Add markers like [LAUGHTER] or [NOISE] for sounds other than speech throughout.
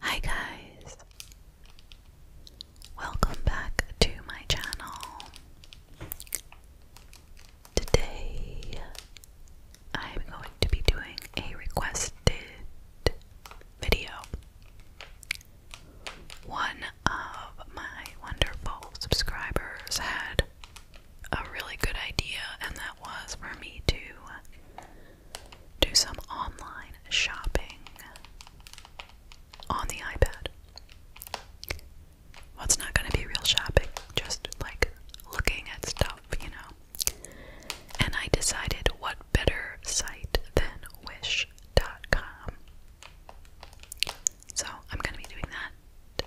Hi guys! Welcome back to my channel. Today I'm going to be doing a requested video. One of my wonderful subscribers had a really good idea, and that was for me to do some online shopping on the iPad. Well, it's not going to be real shopping, just like looking at stuff, you know. And I decided what better site than Wish. dot com. So I'm going to be doing that.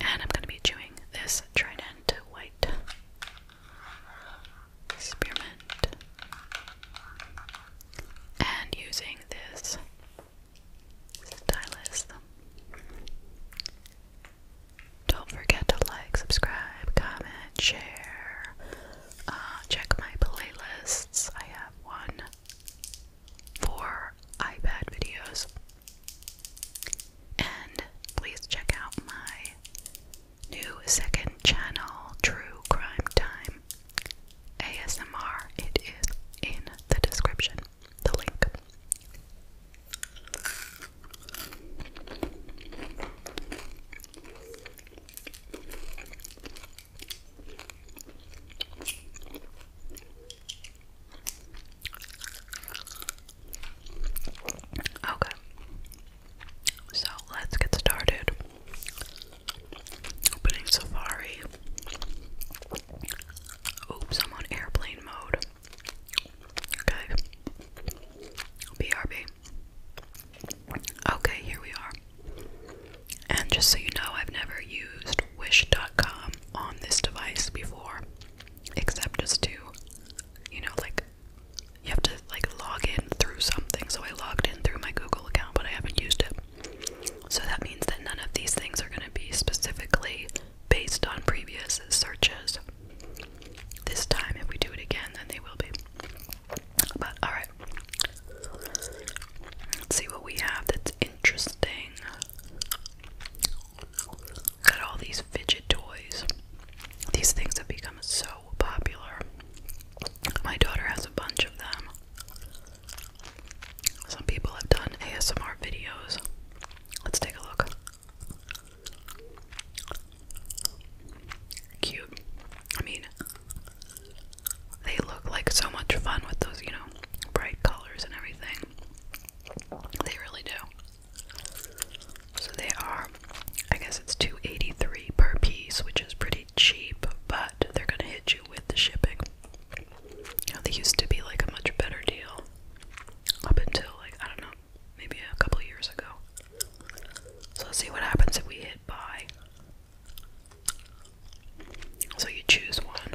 And I'm going to be chewing this Trident White. Experiment and using this stylus. Don't forget to like, subscribe, comment, share. Uh, check my playlists. I have one for iPad videos. And please check out my New second channel, True Crime Time ASMR. It is in the description, the link. Okay. So let's get started. Opening Safari. Oops, I'm on airplane mode. Okay. BRB. Okay, here we are. And just so you know, I've never used wish.com on this device before, except just to, you know, like you have to like log in through something. So I logged in through my Google account, but I haven't used it. So that means that none of these things are going to be specifically based on previous searches. This time, if we do it again, then they will be. But alright. Let's see what we have that's interesting. Got all these fidget toys. These things have become so popular. My daughter has a bunch of them. Some people have done ASMR videos. Let's take a look. Cute. I mean, they look like so much fun with those, you know, bright colors and everything. They really do. So they are, I guess it's 283 per piece, which is pretty cheap, but they're gonna hit you with the shipping. they used to be like a much better deal up until like, I don't know, maybe a couple years ago. So let's see what happens if we hit buy. So you choose one.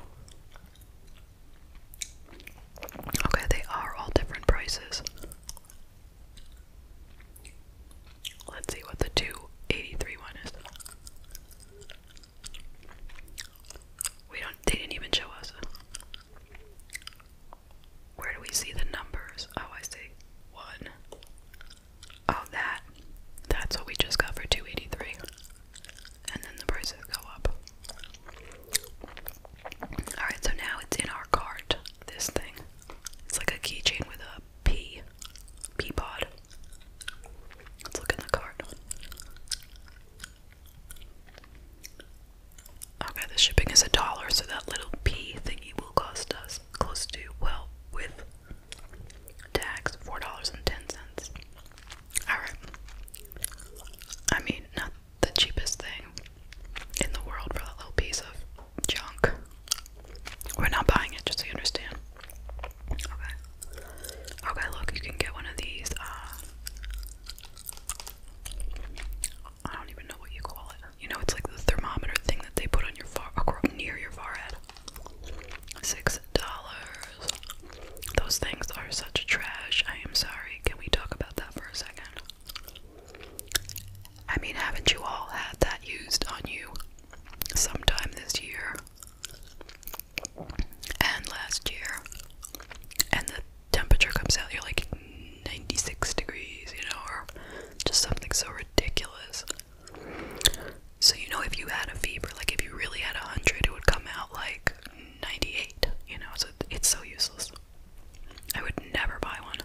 Okay, they are all different prices. Let's see what the 283 one is. We don't they didn't even show us. Where do we see the numbers? Oh, I see. One. Oh, that. That's what we just got for 283. And then the prices go up. Alright, so now it's in our cart, this thing. It's like a keychain with a P. P pod. Let's look in the card. Okay, the shipping is a dollar, so that little P thingy will cost us close to, well, with tax, $4.10. Alright. I mean, not the cheapest thing in the world for that little piece of junk. We're not buying it, just so you understand. Okay. Okay, look, you can get one of these. Uh, I don't even know what you call it. You know, it's like the thermometer thing that they put on your forehead, near your forehead. Six dollars. Those things are such trash. I am sorry. Can we talk about that for a second? I mean, haven't you all had that used on you sometime this year and last year? And the temperature comes out, you're like 96 degrees, you know, or just something so ridiculous. So, you know, if you had a fever, like if you really had 100, it would come out like 98, you know, so it's so useless. I would never buy one.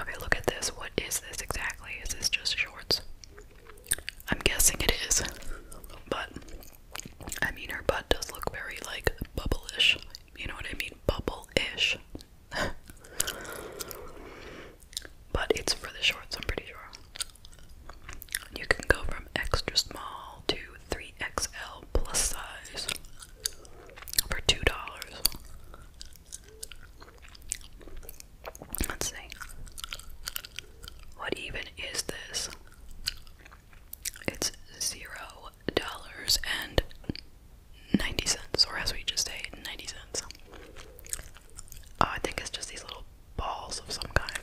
Okay, look at this. What is this exactly? Is this just shorts? I'm guessing it is. But I mean her butt does look very like bubble-ish. You know what I mean? Bubble-ish. [LAUGHS] but it's for the shorts, I'm pretty sure. You can go from extra small to 3XL plus size for two dollars. Let's see. What even is this? It's zero dollars and ninety cents, or as we just say, ninety cents. Oh, I think it's just these little balls of some kind.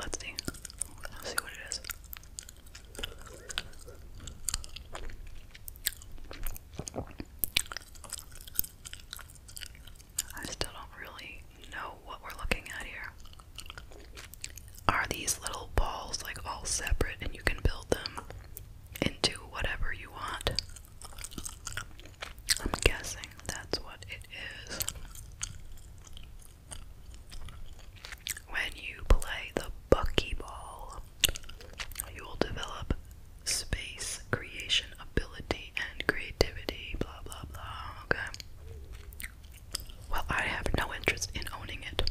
let's see. see what it is. I still don't really know what we're looking at here. Are these little balls like all separate and you can build them into whatever you want? I'm guessing that's what it is. When you play the Bucky Ball, you will develop space creation ability and creativity, blah blah blah. Okay. Well, I have no interest in owning it.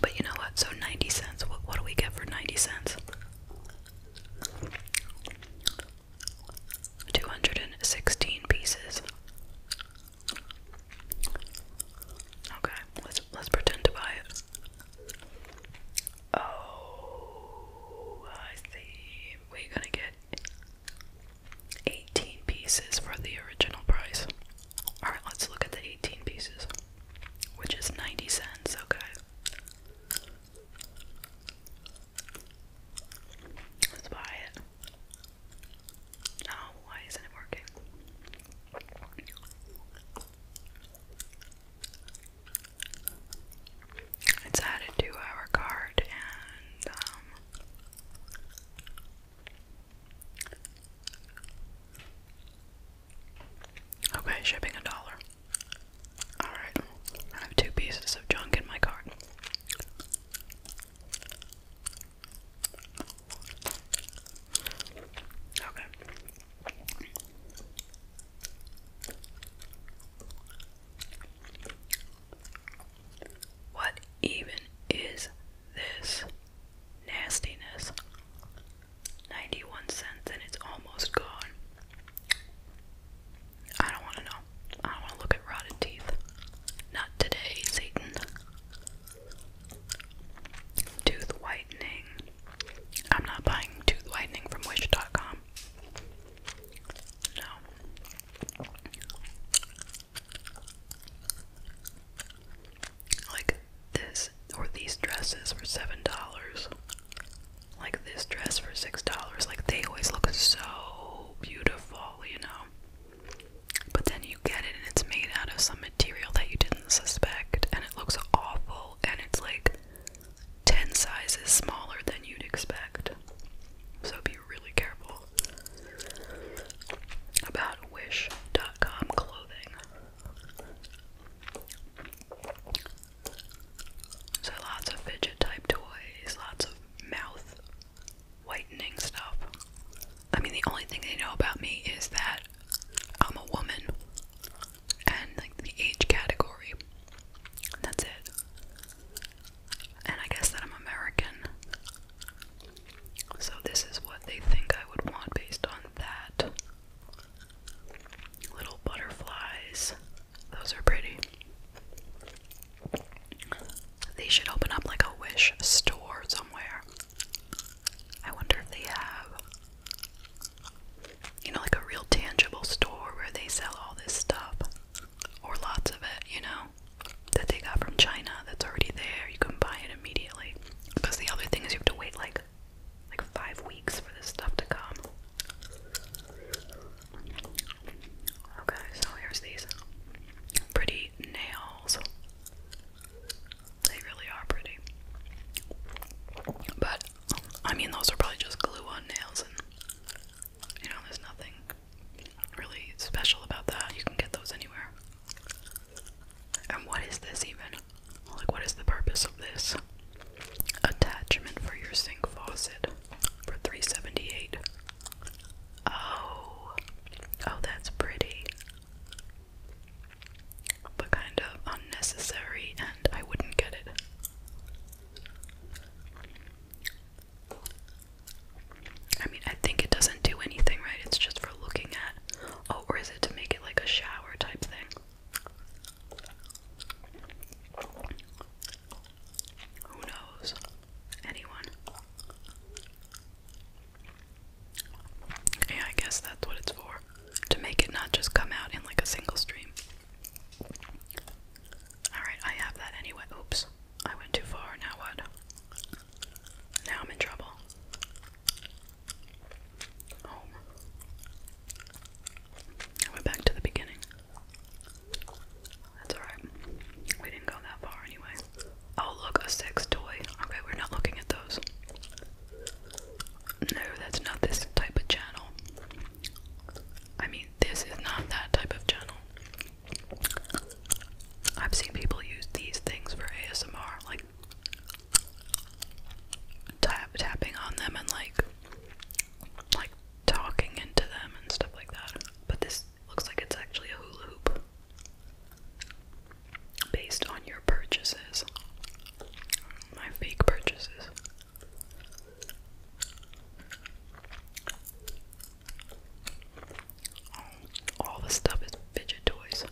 But you know what? So 90 cents. What, what do we get for 90 cents? 216 pieces. Okay. Let's let's pretend to buy it. Oh, I see. We're gonna get 18 pieces for the original price. Alright, let's look at the 18 pieces, which is 90 cents, okay. Let's buy it. Oh, why isn't it working? It's added to our card um, Okay, shipping a dollar. Alright. I have two pieces of junk in my cart. Okay. What even is this nastiness? 91 cents and it's almost gone. I don't want to know. I don't want to look at rotted teeth. Not today, Satan. Tooth whitening. I'm not buying tooth whitening from wish.com. No. Like this or these dresses for seven dollars. Like this dress for six dollars. Like they always look so beautiful, you know. But then you get it and it's made out of some material that you didn't suspect and it looks awful and it's like 10 sizes smaller than you'd expect. So be really careful about wish.com clothing. So lots of fidget type toys, lots of mouth whitening stuff. I mean, the only thing they know about me is that I'm a woman and like the age category. That's it. And I guess that I'm American. So this is what they think I would want based on that. Little butterflies. Those are pretty. They should open up like a wish store somewhere. I wonder if they have, you know, like a real tangible store where they sell all this stuff or lots of it, you know, that they got from China that's already there. You can buy it immediately. Because the other thing is you have to wait like like five weeks for this stuff to come. Okay, so here's these pretty nails. They really are pretty. But, I mean, those are probably just glue on nails, and you know, there's nothing really special about that. You can get those anywhere. And what is this even? Like, what is the purpose of this? Attachment for your sink faucet for 378. Oh, oh, that's pretty but kind of unnecessary, and I wouldn't get it. I mean, I think it doesn't do anything, right? It's just for looking at. Oh, or is it to make it like a shower type thing? Who knows? Anyone? Yeah, I guess that's what it's for. To make it not just come out in like a single stream. Alright, I have that anyway. Oops. I went too far. Now what? Now I'm in trouble. Oh. I went back to the beginning. That's alright. We didn't go that far anyway. Oh, look, a sex toy. Okay, we're not looking at those. No, that's not this type of channel. I mean, this is not that type of channel. I've seen people use these things for ASMR, like tapping on them and like like talking into them and stuff like that. But this looks like it's actually a hula hoop based on your purchases. My fake purchases. All the stuff is fidget toys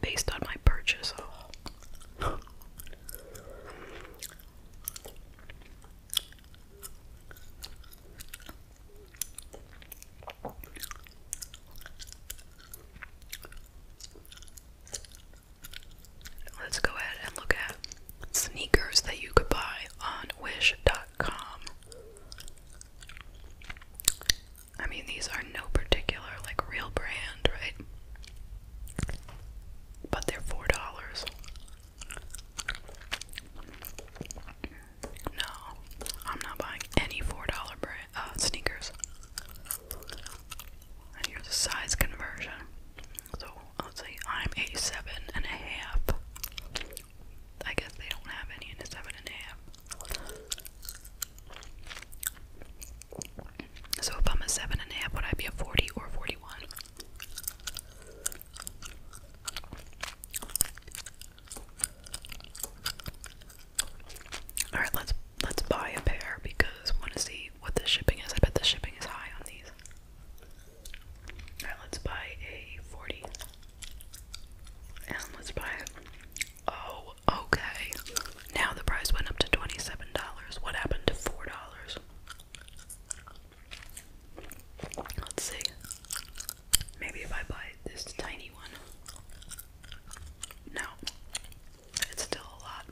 based on my purchase. Let's go ahead and look at sneakers that you could buy on wish.com. I mean, these are no particular, like, real brand, right? But they're $4. No, I'm not buying any $4 brand uh, sneakers. And here's a size conversion. So let's say I'm 87 and a half. I guess they don't have any in a seven and a half. So if I'm a seven and a half, would I be a 40 or 41? All right, let's let's buy a pair because I want to see what the shipping is. I bet the shipping is high on these. All right, let's buy a 40. And let's buy it. Oh, okay. Now the price went up to $27. What happened to $4? Let's see. Maybe if I buy this tiny one. No. It's still a lot.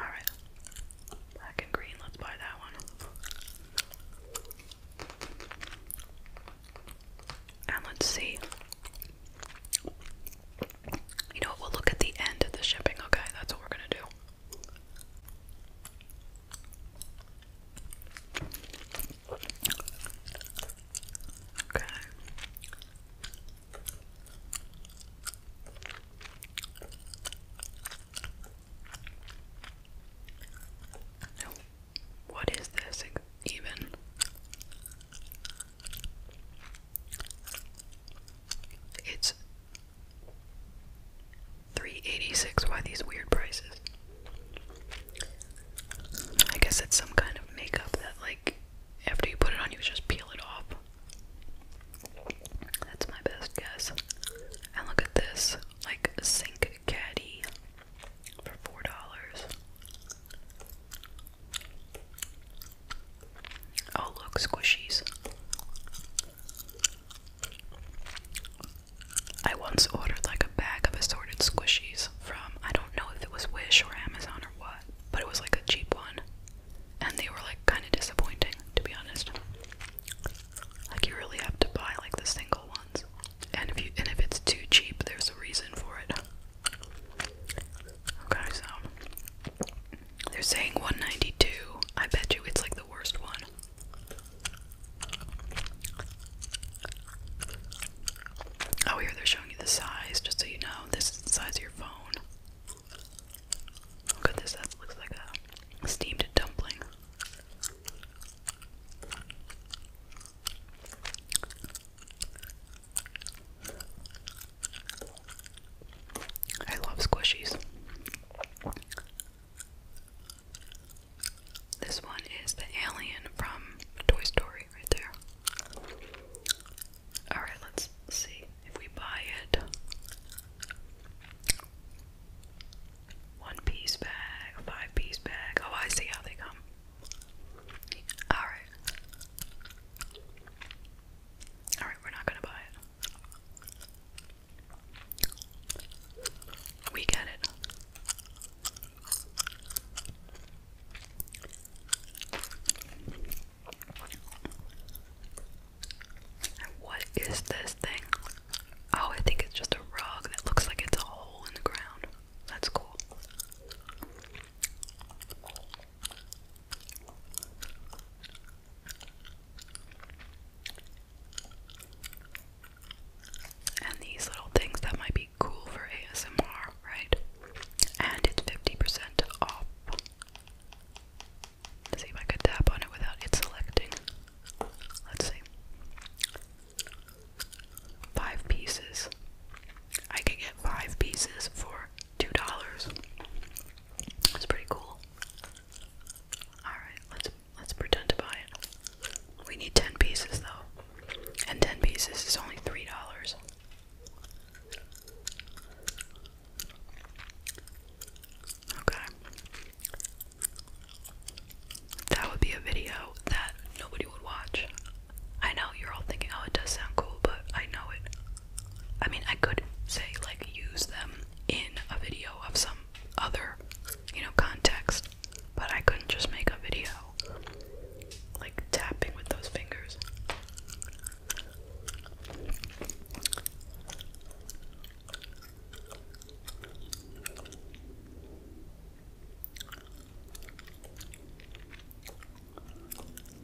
Alright. Black and green, let's buy that one. And let's see. You know what? We'll look at the end of the shipping, okay? That's what we're gonna do. Okay. What is this even? It's 386 why these weird prices. I guess it's some kind of makeup that, like, after you put it on, you just peel it off. That's my best guess. And look at this, like, sink caddy for four dollars. Oh, look, squishies. I once ordered like a bag of assorted squishies from I don't don't know if it was Wish or Amazon or what, but it was like a cheap one. And they were like kind of disappointing, to be honest. Like you really have to buy like the single ones. And if you and if it's too cheap, there's a reason for it. Okay, so they're saying 192. I bet you it's like the worst one. Oh, here they're showing you the size, just so you know. This is the size of your phone. Look at this, that looks like a steamed dumpling. I love squishies. This one is the alien from Toy Story right there. Alright, let's see if we buy it. One piece bag, five piece bag. Oh, I see how they come. Alright. Alright, we're not gonna buy it. We get it. What is this thing? Oh, I think it's just a rug that looks like it's a hole in the ground. That's cool and these little things that might be cool for ASMR, right? And it's 50% off. Let's see if I can tap on it without it selecting. Let's see. Five pieces. I can get five pieces for $2. That's pretty cool. Alright, let's let's pretend to buy it. We need 10 pieces though. And 10 pieces is only $3. Okay. That would be a video that nobody would watch. I know you're all thinking, oh, it does sound cool, but I know it. I mean, I could say, like, use them in a video of some other, you know, context but I couldn't just make a video like tapping with those fingers.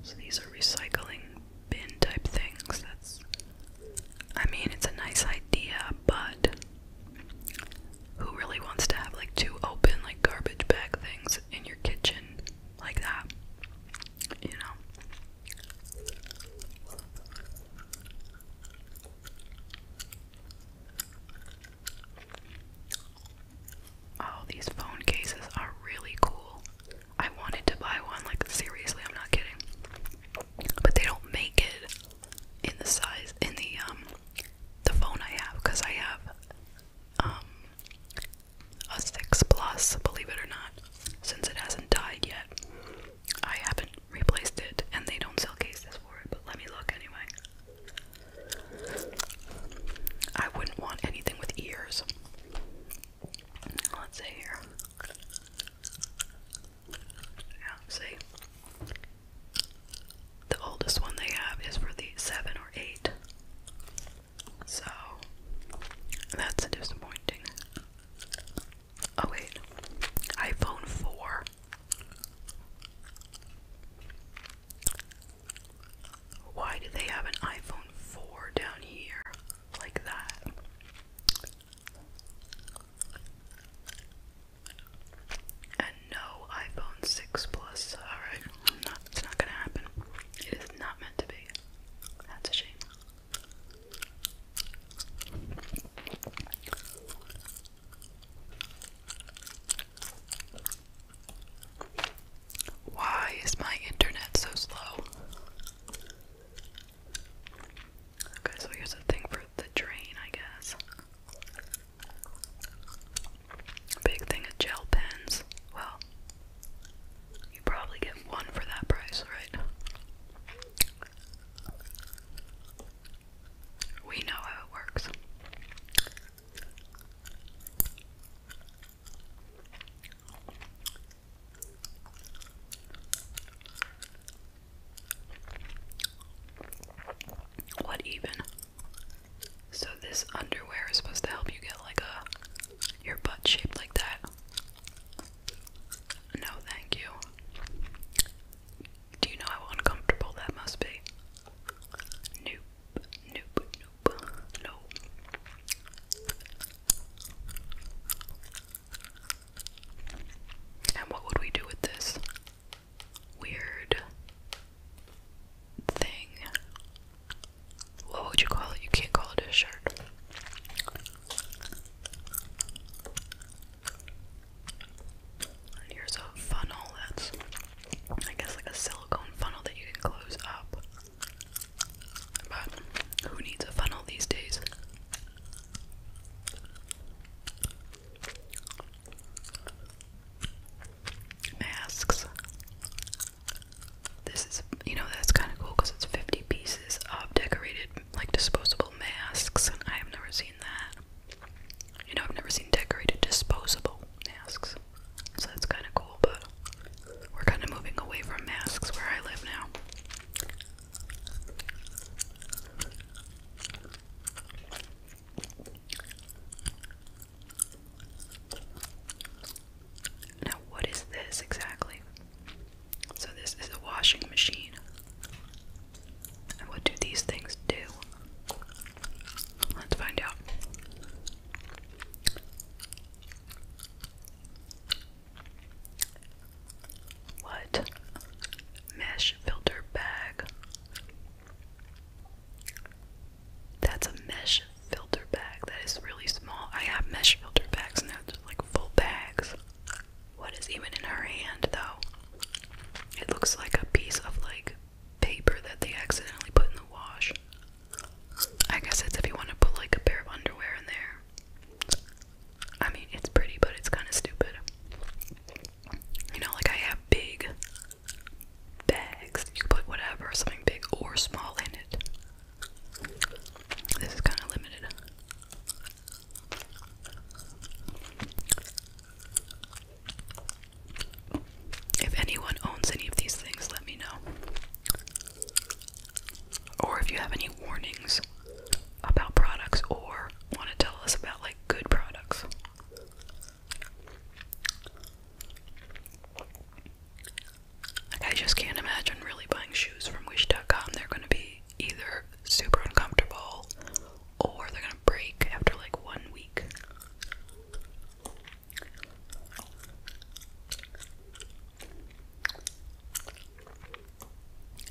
So these are recycling bin type things. That's I mean, it's a nice idea, but who really wants to have like two open like garbage bag things in your kitchen like that? You know. Oh, these phone cases are really cool. I wanted to buy one, like seriously, I'm not kidding. But they don't make it in the size in the um the phone I have because I have um, a 6 Plus, believe it or not. Since it hasn't died yet, I haven't replaced it, and they don't sell cases for it, but let me look anyway. I wouldn't want anything with ears. Let's see here. Yeah, see? The oldest one they have is for the seven or eight. So that's disappointing. Oh wait, iPhone 4. Why do they have an iPhone 4 down here like that? And no iPhone 6 Plus. Alright, it's not gonna happen. It is not meant to be. That's a shame. Why is my internet so slow? Okay, so here's a thing for the drain, I guess. Big thing of gel pens. Well, you probably get one for that price, right? We know how it works. What even? So this underwear is supposed to help you get like a your butt shaped like that. No, thank you. Do you know how uncomfortable that must be? Nope, nope, nope, no. And what would we do with this? weird thing. What would you call it? You can't call it a shirt. here's a funnel that's, I guess, like a silicone funnel that you can close up. But who needs a funnel these days? masks. This is, you know, that's kind of cool because it's 50 pieces of decorated, like disposable masks, I have never seen that. You know, I've never seen decorated disposable masks, so that's kind of cool, but we're kind of moving away from masks where I live now. Now, what is this exactly? So, this is a washing machine. And what do these things do? Let's find out. What? Mesh filter bag. That's a mesh filter bag. That is really small. I have mesh filter bags and they're like full bags. What is even in her hand though? It looks like a piece of like paper that they accidentally put in the wash. I guess it's if you want to put like a pair of underwear in there. I mean, it's pretty, but it's kind of stupid. You know, like I have big bags. You put whatever, something big or small in it. This is kind of limited. If anyone owns any of these things, let me know. Or if you have any warnings about products or want to tell us about like good products. I just can't imagine really buying shoes from Wish.com. They're gonna be either super uncomfortable or they're gonna break after like one week.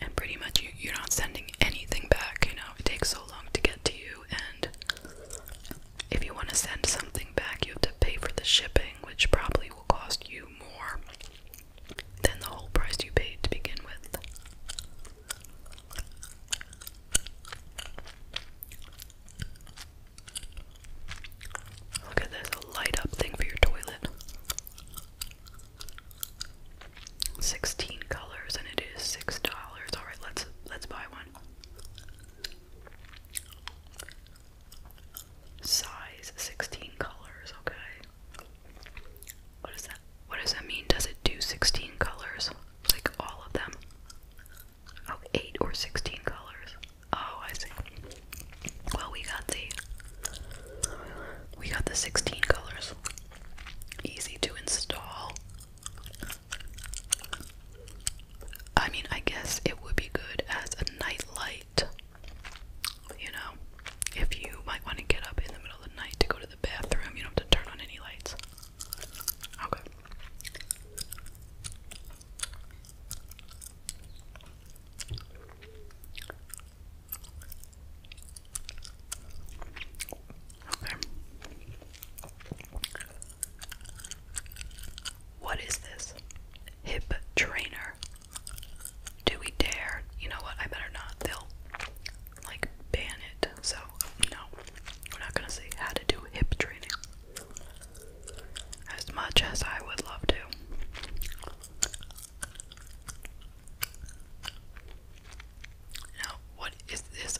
And pretty much you're not sending anything back, you know, it takes so long to get to you and if you want to send something back, you have to pay for the shipping, which probably will cost you more than the whole price you paid to begin with. Look at this, a light up thing for your toilet. 16 colors and it is $6. All right, let's let's buy one. Size 16 colors, okay. What is that? What does that mean? Does it do 16 colors? Like all of them? Oh, eight or 16 colors. Oh, I see. Well, we got the we got the 16 colors. Easy to install. I mean, I guess it would be good as a night light. You know, if you might want to get up in the middle of the night to go to the bathroom, you don't have to turn on any lights. Okay. Okay. What is this? Hip trainer. Do we dare? You know what? I better not. They'll like ban it. So, no. We're not gonna say how to do hip training. As much as I would love to. Now, what is this?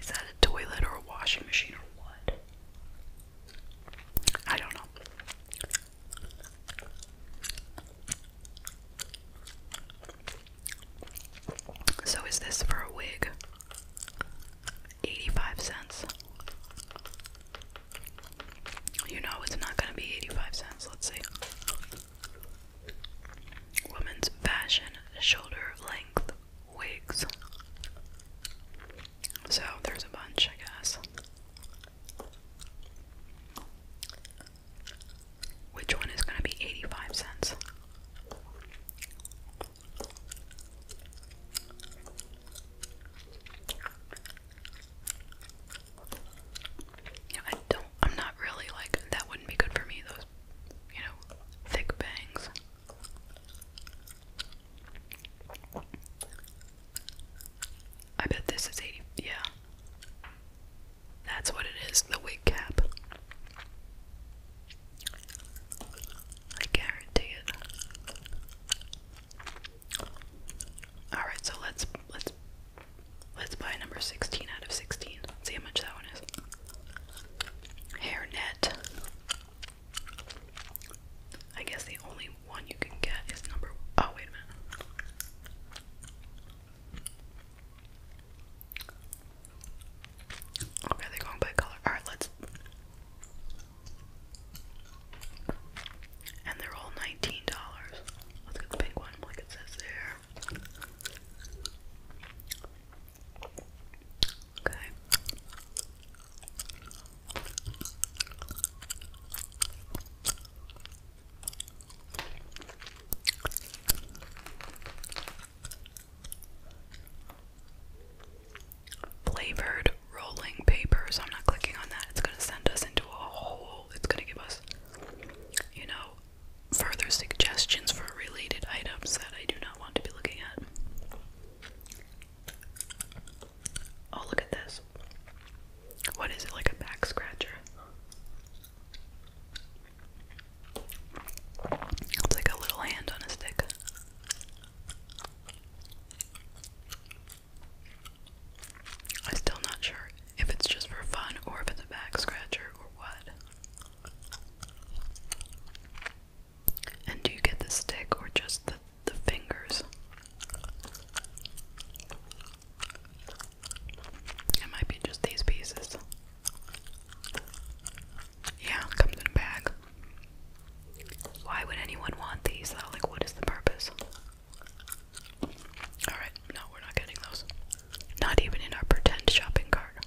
Is that a toilet or a washing machine or what? I don't know. So, is this for a wig? 85 cents. You know it's not gonna be 85 cents, let's see. Women's fashion shoulder length wigs. So there's a bunch, I guess. Which one is going to be 85 cents? I don't, I'm not really like, that wouldn't be good for me, those you know, thick bangs. I bet this is 80. Yeah. That's what it is, the wig cap. I guarantee it. All right, so let's let's let's buy number 16 out of 16. Let's see how much that one is hairnet. I guess the only one you can get is number. Oh, wait a minute. Okay, they're going by color. Alright, let's. And they're all $19. Let's get the pink one, like it says there. Okay. Flavored rolling paper, I'm not clicking on that. It's going to send us into a hole. It's going to give us, you know, further suggestions for related items that I do not want to be looking at. Oh, look at this. What is it, like a back scratcher? It's like a little hand on a stick. I'm still not sure if it's just for fun or if it's a back scratcher or what. And do you get the stick or just the, the fingers? It might be just these pieces. Yeah, comes in a bag. Why would anyone want these Like, what is the purpose? Alright, no, we're not getting those. Not even in our pretend shopping cart.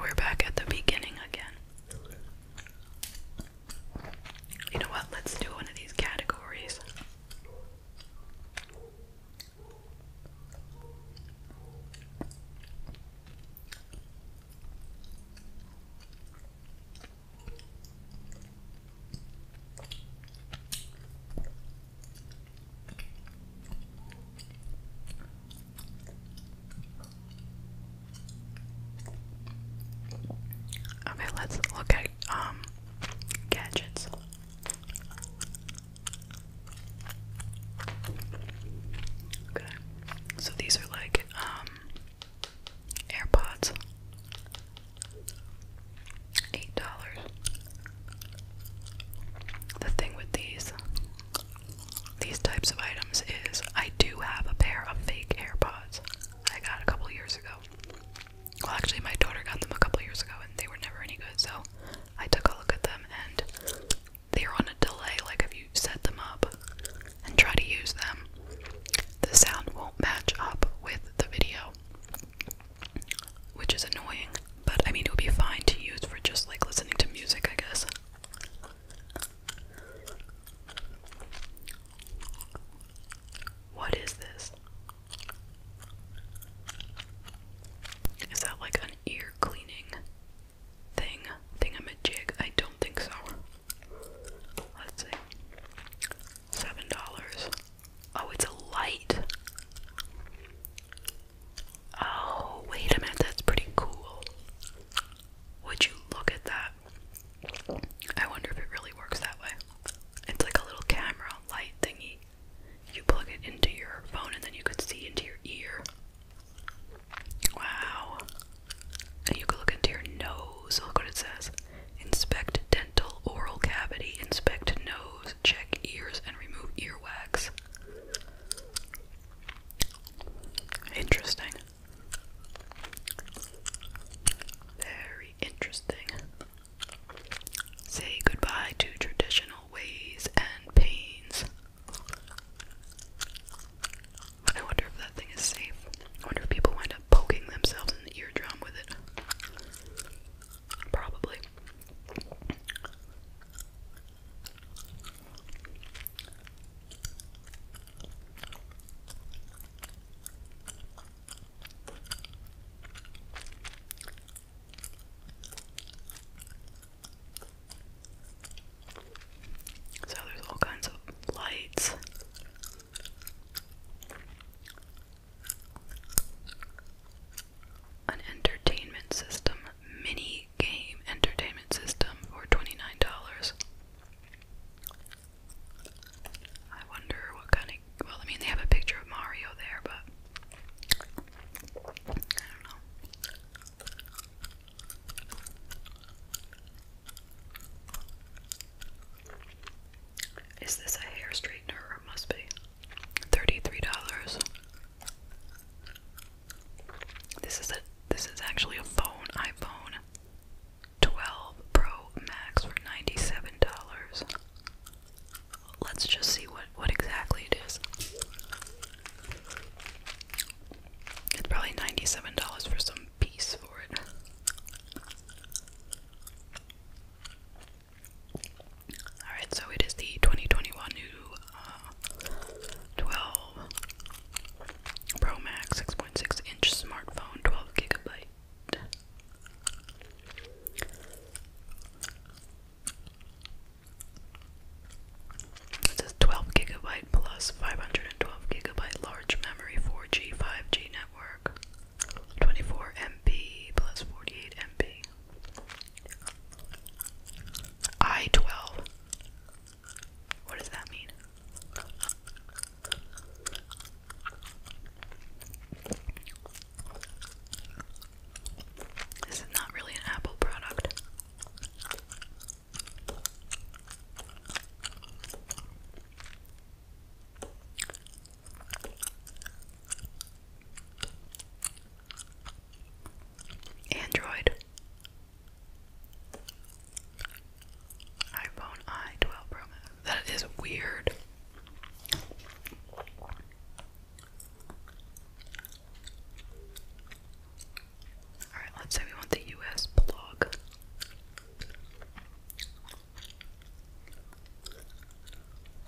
We're back at the beginning again. You know what? Let's do one of these categories. Okay, let's look um gadgets. Okay. So these are like um AirPods. $8. The thing with these these types of items is I do have a pair of fake AirPods I got a couple years ago. Well, actually, my daughter got them a couple years ago and they were never any good, so I took a look at them and they're on a delay. Like, if you set them up and try to use them, the sound won't match up with the video, which is annoying. But I mean, it would be fine to use for just like listening to music, I guess. What is this? Is that like an ear cleaning thing? Thingamajig? I don't think so. Let's see. Seven dollars. Oh, it's a light. Oh, wait a minute, that's pretty cool. Would you look at that? I wonder if it really works that way. It's like a little camera light thingy. You plug it into your phone and then you could see into your ear. Wow. you could look into your nose. Look what it says. Inspect dental oral cavity, inspect nose, check ears, and remove earwax. Interesting. Very interesting. Say goodbye to traditional ways and pains. I wonder if that thing is safe. I wonder if people wind up poking themselves in the eardrum with it. Probably. So there's all kinds of lights. An entertainment system, mini game entertainment system for $29. I wonder what kind of. Well, I mean, they have a picture of Mario there, but. I don't know. Is this a hair straightener? or must be. $33. This is a this is actually a phone, iPhone 12 Pro Max for $97. Let's just see what what exactly it is. It's probably $97 for some piece for it. Alright, so it is the 2021 new 12 Pro Max 6.6 inch smartphone, 12 gigabyte. It says 12 gigabyte plus 512 gigabyte large memory, 4G, 5G network, 24 MB plus 48 MB. I12 what does that mean? This is not really an Apple product. Android iPhone i12 Pro That is weird. Alright, let's say we want the US blog.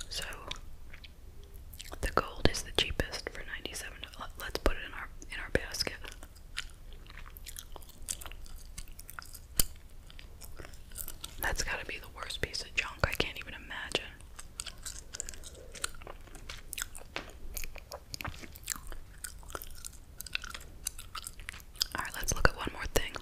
So the gold is the cheapest for $97. let us put it in our in our basket. That's gotta be the worst piece of junk. I can't even imagine. Alright, let's look at one more thing.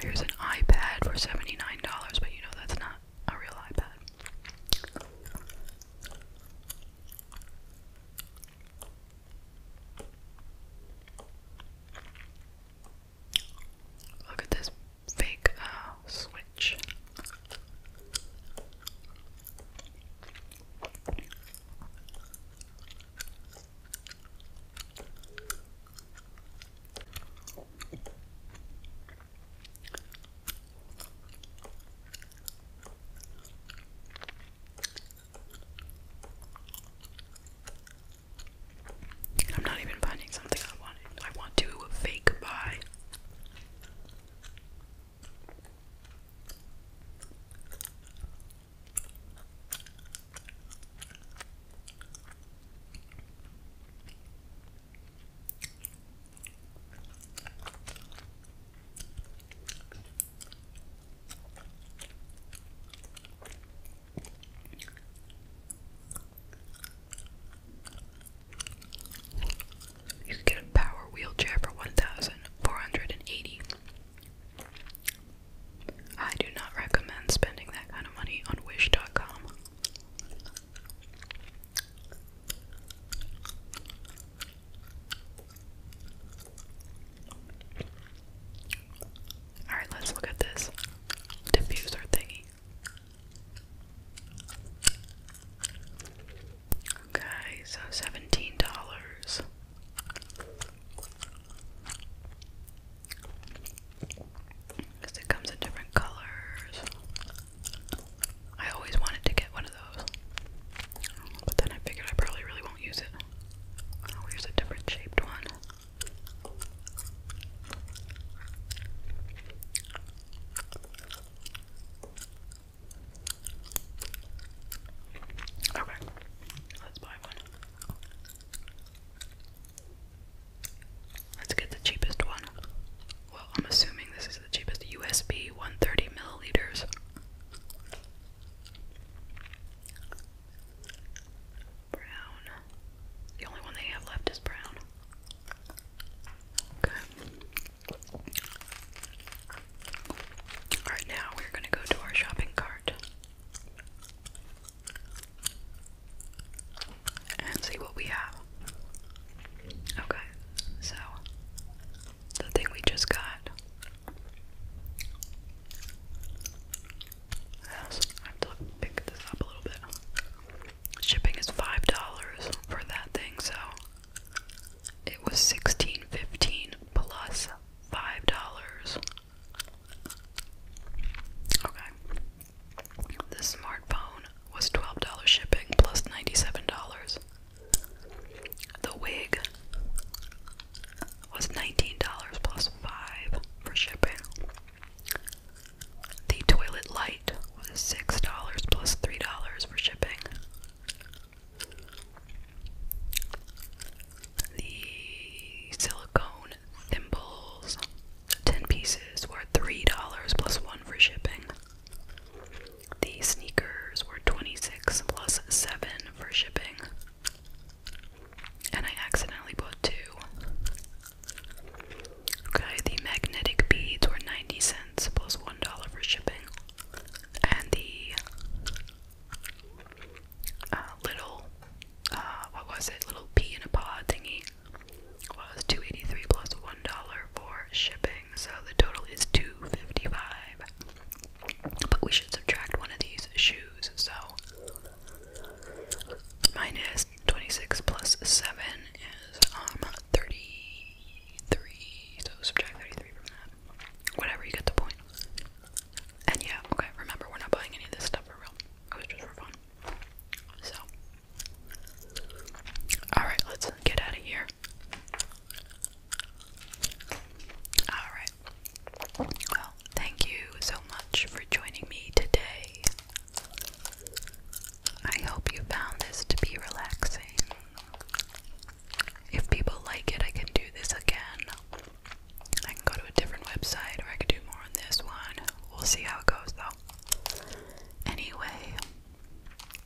Here's an iPad for $79, but you know that's not a real iPad. Look at this fake uh, switch. I'm not even finding something I want. I want to fake buy. You can get a power wheelchair for 1480 I do not recommend spending that kind of money on wish.com. Alright, let's look at this diffuser thingy. Okay, so seventeen dollars. Because it comes in different colors. I always wanted to get one of those. But then I figured I probably really won't use it. Oh, here's a different shaped one. Okay, let's buy one. Let's get the cheapest one. Well, I'm assuming this the cheapest USB 130 milliliters. Brown. The only one they have left is brown. Okay. Alright, now we're going to go to our shopping cart and see what we have. Okay, so the thing we just got. I have to pick this up a little bit. Shipping is five dollars for that thing, so it was sixteen fifteen plus five dollars. Okay. This smartphone was twelve dollars shipping plus ninety-seven dollars. The wig was $19 plus 5 for shipping. The toilet light was $6 plus $3 for shipping. The silicone thimbles, 10 pieces, were $3 plus 1 for shipping. The sneakers were 26 plus 7 for shipping. And I accidentally bought two. Okay, the magnetic beads were 90 cents $1 for shipping. And the uh, little, uh, what was it? Little pea in a pod thingy was 283 $1 for shipping. So the total is 255 but we should subtract one of these shoes, so minus 26 plus 7 is um 33. So subtract 33 from that. Whatever, you get the point. And yeah, okay, remember we're not buying any of this stuff for real. It was just for fun. So Alright, let's get out of here. Alright. Well, thank you so much for joining me today. I hope you found this to be relaxing. If people like it, I can do this again. I can go to a different website or I could do more on this one. We'll see how it goes though. Anyway,